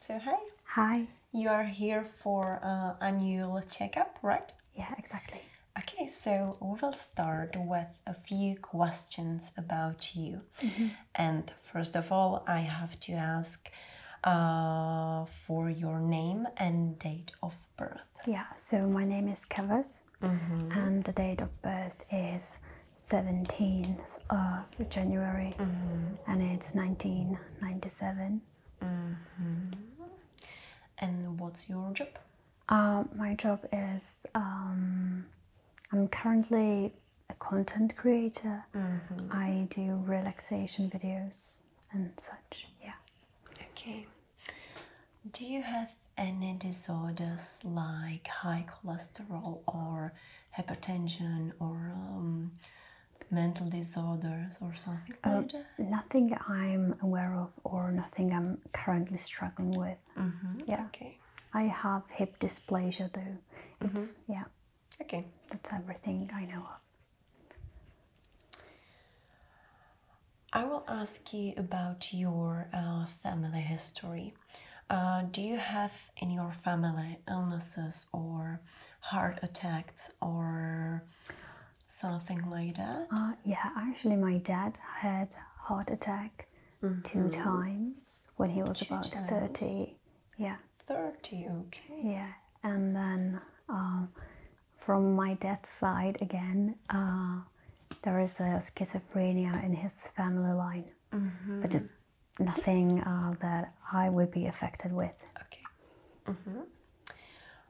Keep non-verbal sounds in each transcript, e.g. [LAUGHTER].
So hi. Hi. You are here for uh, annual checkup, right? Yeah, exactly. Okay, so we will start with a few questions about you. Mm-hmm. And first of all, I have to ask uh, for your name and date of birth. Yeah, so my name is Kavas, mm-hmm. and the date of birth is 17th of. January, mm-hmm. and it's 1997. Mm-hmm. And what's your job? Uh, my job is um, I'm currently a content creator. Mm-hmm. I do relaxation videos and such. Yeah. Okay. Do you have any disorders like high cholesterol or hypertension or um, mental disorders or something oh, Nothing I'm aware of, or nothing I'm currently struggling with. Mm-hmm. Yeah. Okay. I have hip dysplasia though. It's mm-hmm. yeah. Okay. That's everything I know of. I will ask you about your uh, family history. Uh, do you have in your family illnesses or heart attacks or something like that? Uh, yeah, actually, my dad had heart attack two mm-hmm. times when he was about thirty. Yeah, thirty. Okay. Yeah, and then uh, from my dad's side again, uh, there is a schizophrenia in his family line, mm-hmm. but nothing uh, that I would be affected with. Okay. Mm -hmm.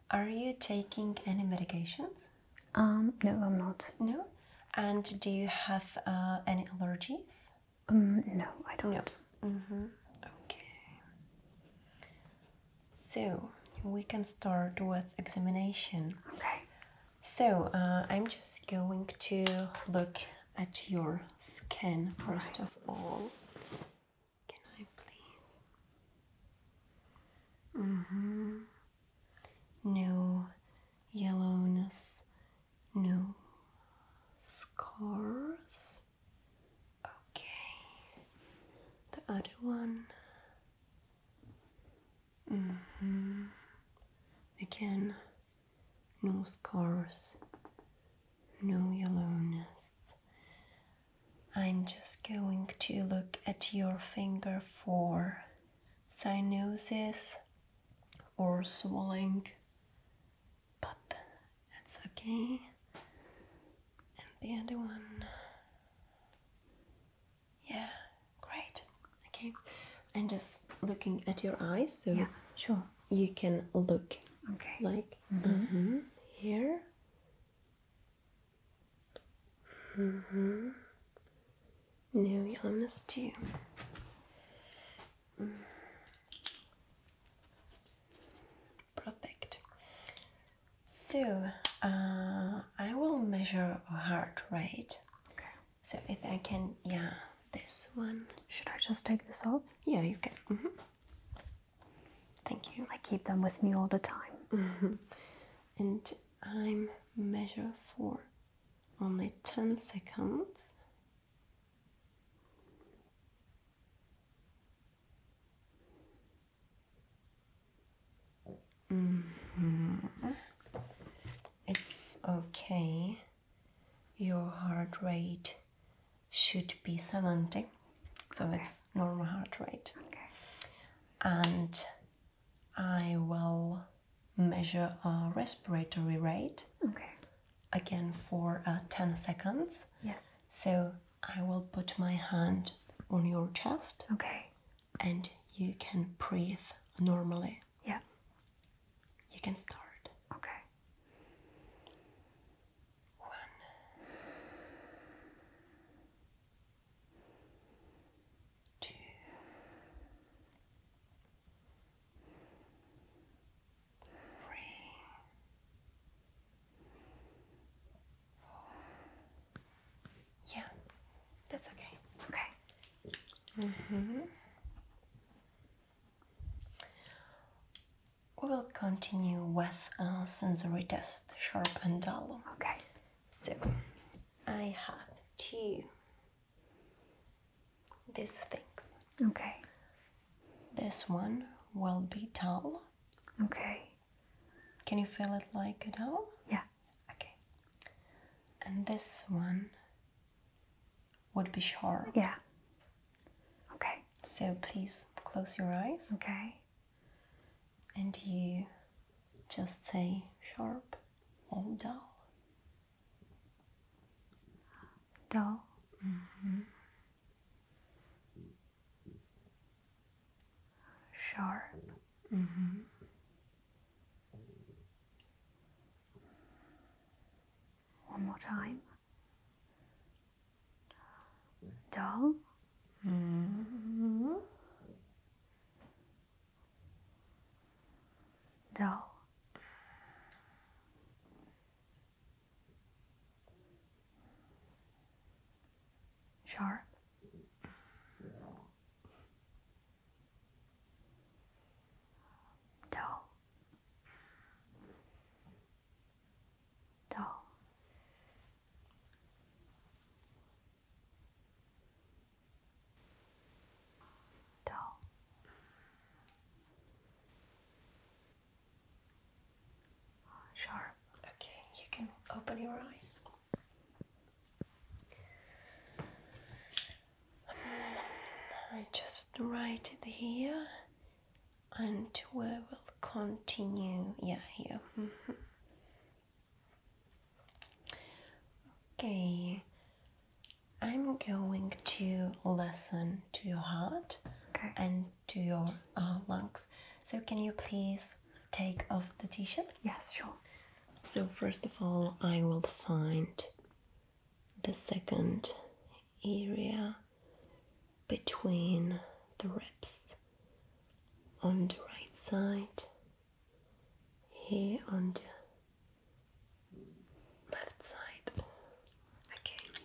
Are you taking any medications? Um, no, I'm not. No? And do you have uh, any allergies? Um, no, I don't. No. Mm -hmm. Okay. So we can start with examination. Okay. So uh, I'm just going to look at your skin first of all. Can I please? Mm-hmm. No yellowness, no scars. Okay. The other one. hmm Again, no scars, no yellowness. I'm just going to look at your finger for cyanosis or swelling, but that's okay. And the other one, yeah, great. Okay, I'm just looking at your eyes, so yeah, sure you can look like mm-hmm. Mm-hmm, here mm-hmm. mm -hmm. new yumness too perfect so uh, I will measure heart rate okay so if I can yeah this one. Should I just take this off? Yeah, you can. Mm-hmm. Thank you. I keep them with me all the time. Mm-hmm. And I'm measure for only 10 seconds. Mm-hmm. It's okay your heart rate should be 70 so okay. it's normal heart rate okay. and i will measure a respiratory rate okay again for uh, 10 seconds yes so i will put my hand on your chest okay and you can breathe normally yeah. You can start. Okay. One. Two. Three. Yeah, that's okay. Okay. Mm-hmm. We will continue with a uh, sensory test, sharp and dull. Okay. So I have two these things. Okay. This one will be dull. Okay. Can you feel it like a dull? Yeah. Okay. And this one would be sharp. Yeah. Okay. So please close your eyes. Okay. And you just say sharp or dull. Dull. Mm-hmm. Sharp. Mm-hmm. One more time. Doll. Mm Sharp. Doll dull. Dull. Sharp. Okay, you can open your eyes. I just write it here and we will continue yeah here mm-hmm. okay I'm going to listen to your heart and to your uh, lungs so can you please take off the t-shirt yes sure so first of all I will find the second area between the ribs on the right side, here on the left side. Okay.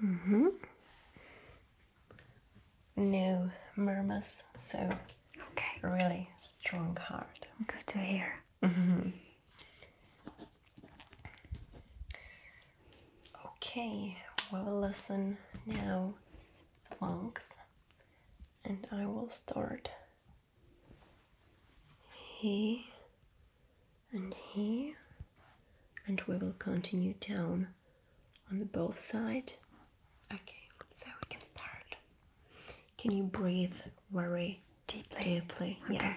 Mm -hmm. No murmurs, so okay. really strong heart. Good to hear. Mm -hmm. Okay, we will listen now the monks and I will start he and he and we will continue down on the both side. Okay, so we can start. Can you breathe very deeply? Deeply, yeah.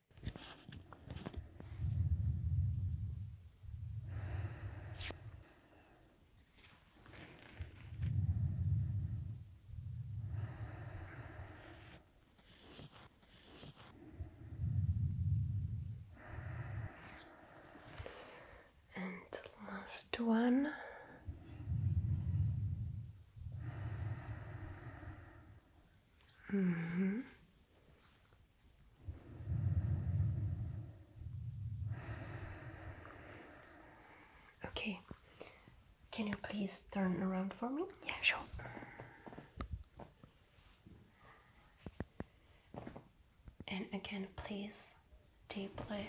And last one. -hmm. Okay, can you please turn around for me? Yeah, sure. And again, please deeply.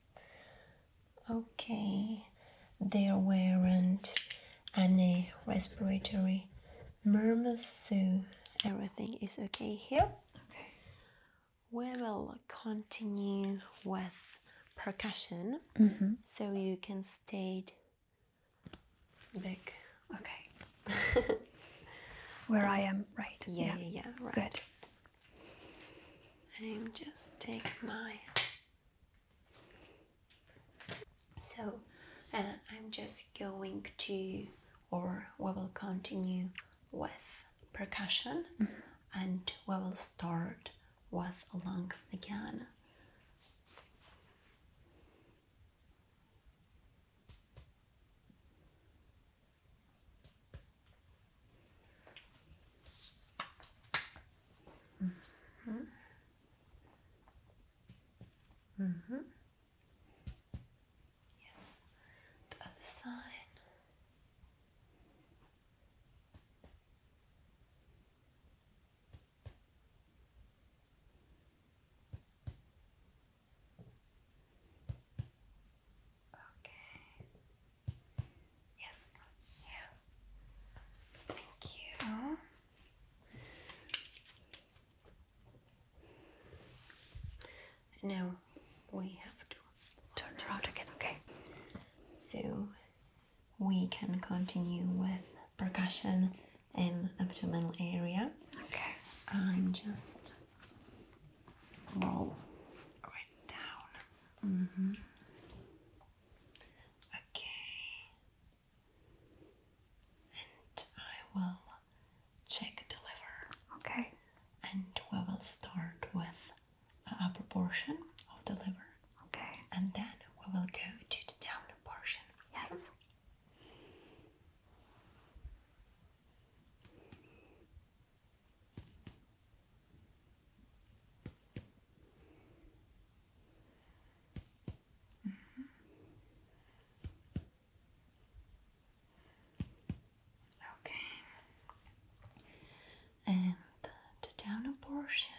Okay, there weren't any respiratory murmurs, so everything is okay here. Okay. We will continue with percussion, mm-hmm. so you can stay back. Okay. Where I am, right? Yeah, yeah, right. Good. I'm just take my so uh, I'm just going to, or we will continue with percussion mm-hmm. and we will start with lungs again. Mm -hmm. Mm -hmm. Yes, the other side. Okay. Yes, yeah. Thank you. Now we have to turn around again, okay? So we can continue with percussion in abdominal area. Okay. I'm just roll right down. Mm-hmm. Okay. And I will check the liver. Okay. And we will start with a upper portion of the liver. Okay. And then we will go to the downer portion. Yes. Okay, and the down abortion.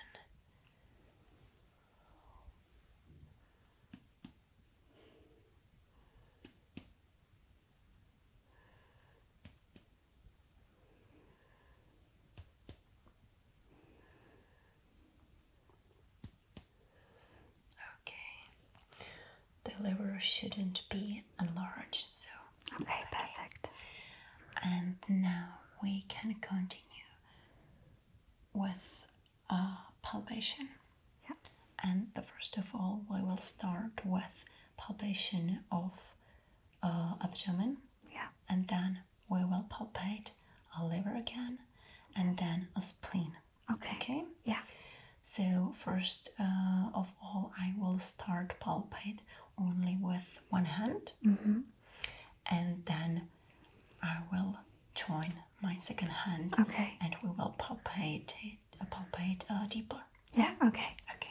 Okay, the liver shouldn't be enlarged, so okay, perfect. And now we can continue with uh, palpation. Yeah. And the first of all, we will start with palpation of uh, abdomen yeah. And then we will palpate a liver again and then a spleen. Okay. Okay? Yeah. So, first uh, of all, I will start palpate only with one hand mm-hmm. and then I will join my second hand. Okay. And we will palpate palpate uh, deeper. Yeah, okay. Okay.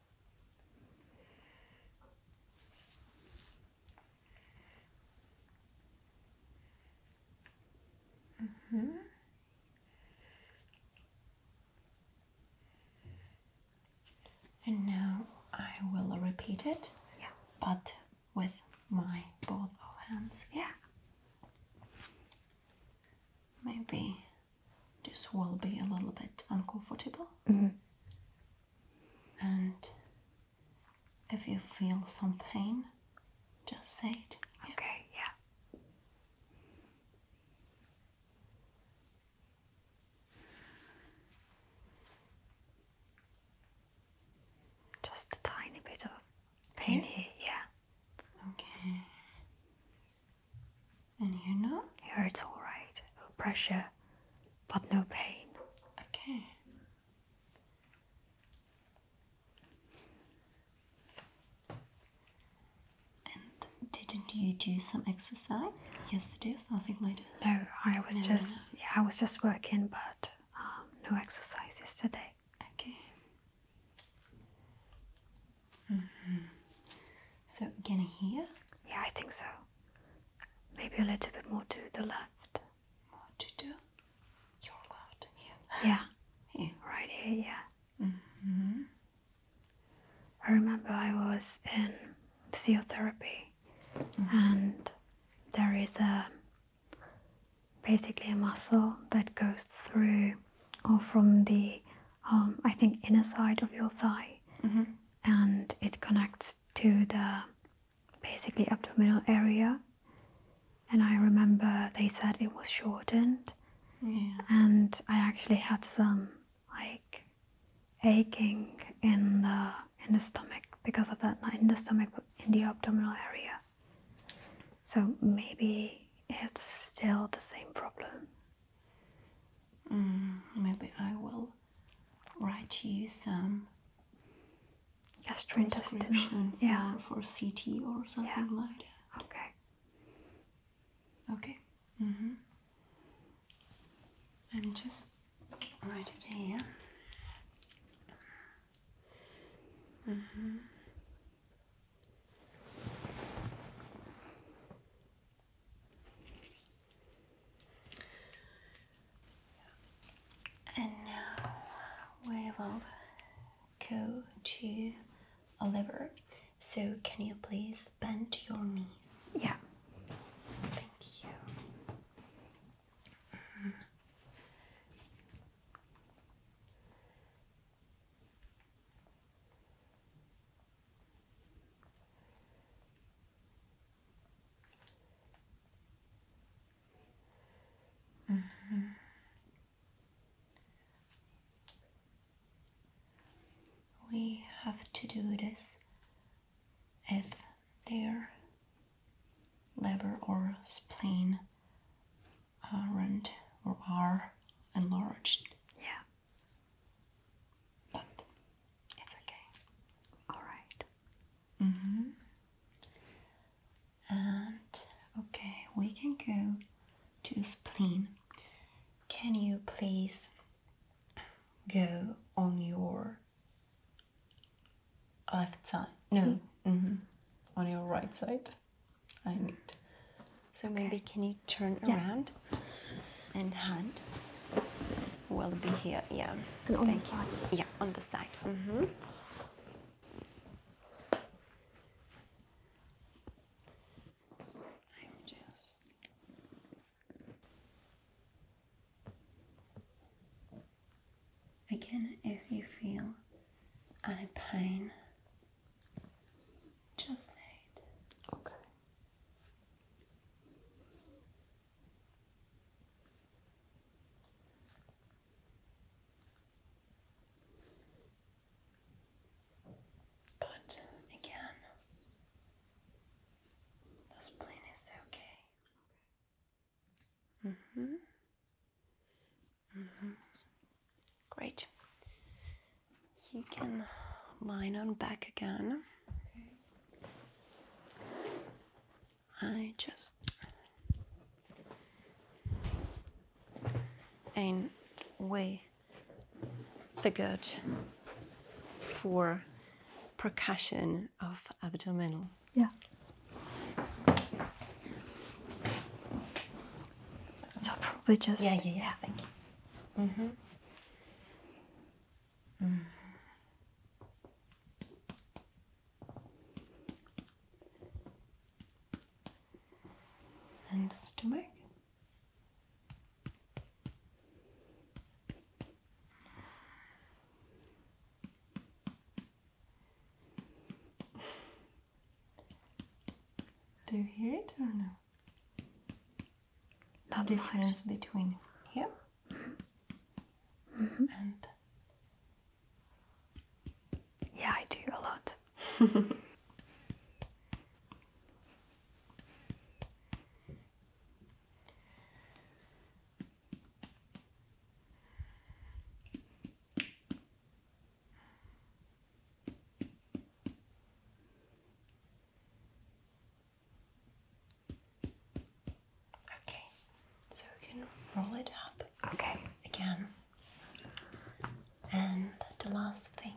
Mm -hmm. And now I will repeat it, but with my both hands. Yeah. Maybe this will be a little bit uncomfortable. Mm -hmm. And if you feel some pain, just say it. Okay, yeah. Just a tiny bit of pain here, yeah. Okay. And here not? Here it's alright. No pressure, but no pain. Okay. And didn't you do some exercise yesterday or something like that? No, I was just yeah, I was just working but um, no exercise yesterday. Okay. Mm-hmm. So can you hear? Yeah, I think so. Maybe a little bit more to the left. More to the your left here. [LAUGHS] Yeah. Right here, yeah. hmm I remember I was in physiotherapy mm-hmm. and there is a basically a muscle that goes through or from the um, I think inner side of your thigh. Mm-hmm and it connects to the basically abdominal area. And I remember they said it was shortened, and I actually had some like aching in the in the stomach because of that, not in the stomach, but in the abdominal area. So maybe it's still the same problem. Mm, maybe I will write you some gastrointestinal for, yeah. for CT or something like that. Okay. Okay. Mm mm-hmm. I'm just write it here. Mm-hmm. And now we will go to a liver. So, can you please bend your knees? Yeah. Thank you. Mm -hmm. We have to do this if their lever or spleen aren't or are enlarged. Yeah. But it's okay. Alright. Mm hmm. And okay, we can go to spleen. Can you please go on your left side? No, mm -hmm. on your right side. I need. So maybe can you? turn around and hand will be here. Yeah. on the side. Yeah, on the side. Mm-hmm. Again, if you feel any pain, just say it. Okay. But again, this plane is okay. Mm hmm. Mm hmm. Great you can line on back again. I just and we figured for percussion of abdominal. Yeah. So probably just yeah yeah yeah. Thank you. Mhm. Mm Mm. And stomach. Do you hear it or no? the difference between here mm-hmm. yeah, I do a lot. [LAUGHS] Okay, so we can roll it up. Okay. Again. And the last thing,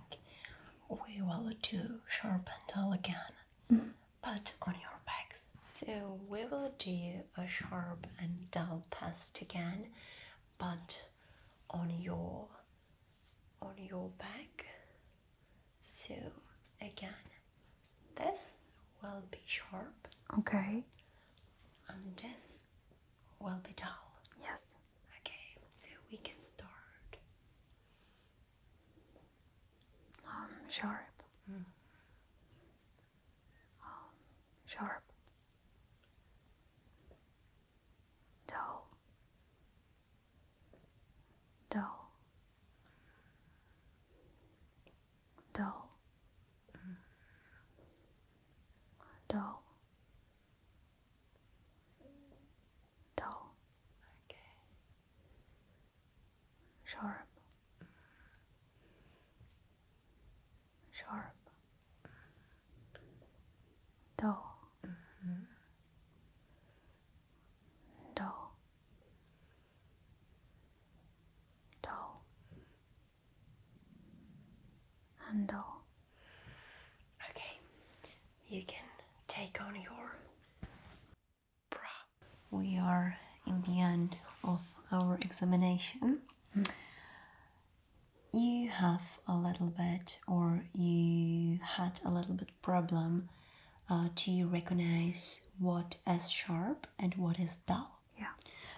we will do sharp and dull again, but on your back. So we will do a sharp and dull test again, but on your on your back. So again, this will be sharp. Okay. And this will be dull. Yes. Okay, so we can start. Um, sharp. Mm. Um, sharp dull, dull, dull, dull, dull, sharp, sharp, dull. Mm-hmm do do and do okay you can take on your bra we are in the end of our examination you have a little bit or you had a little bit problem uh, to recognize what is sharp and what is dull. Yeah.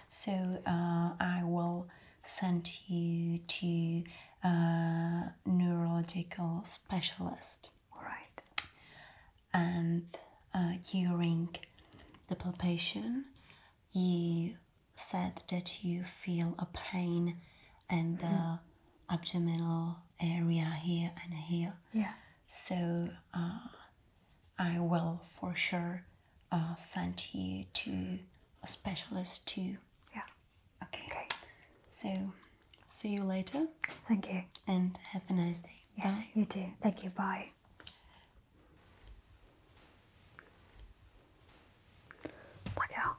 So uh, I will send you to a uh, neurological specialist. All right. And during uh, the palpation, you said that you feel a pain and the abdominal area here and here. Yeah. So uh, I will for sure uh, send you to a specialist too. Yeah. Okay. Okay. So see you later. Thank you. And have a nice day. Yeah, You too. Thank you. Bye. Blackout.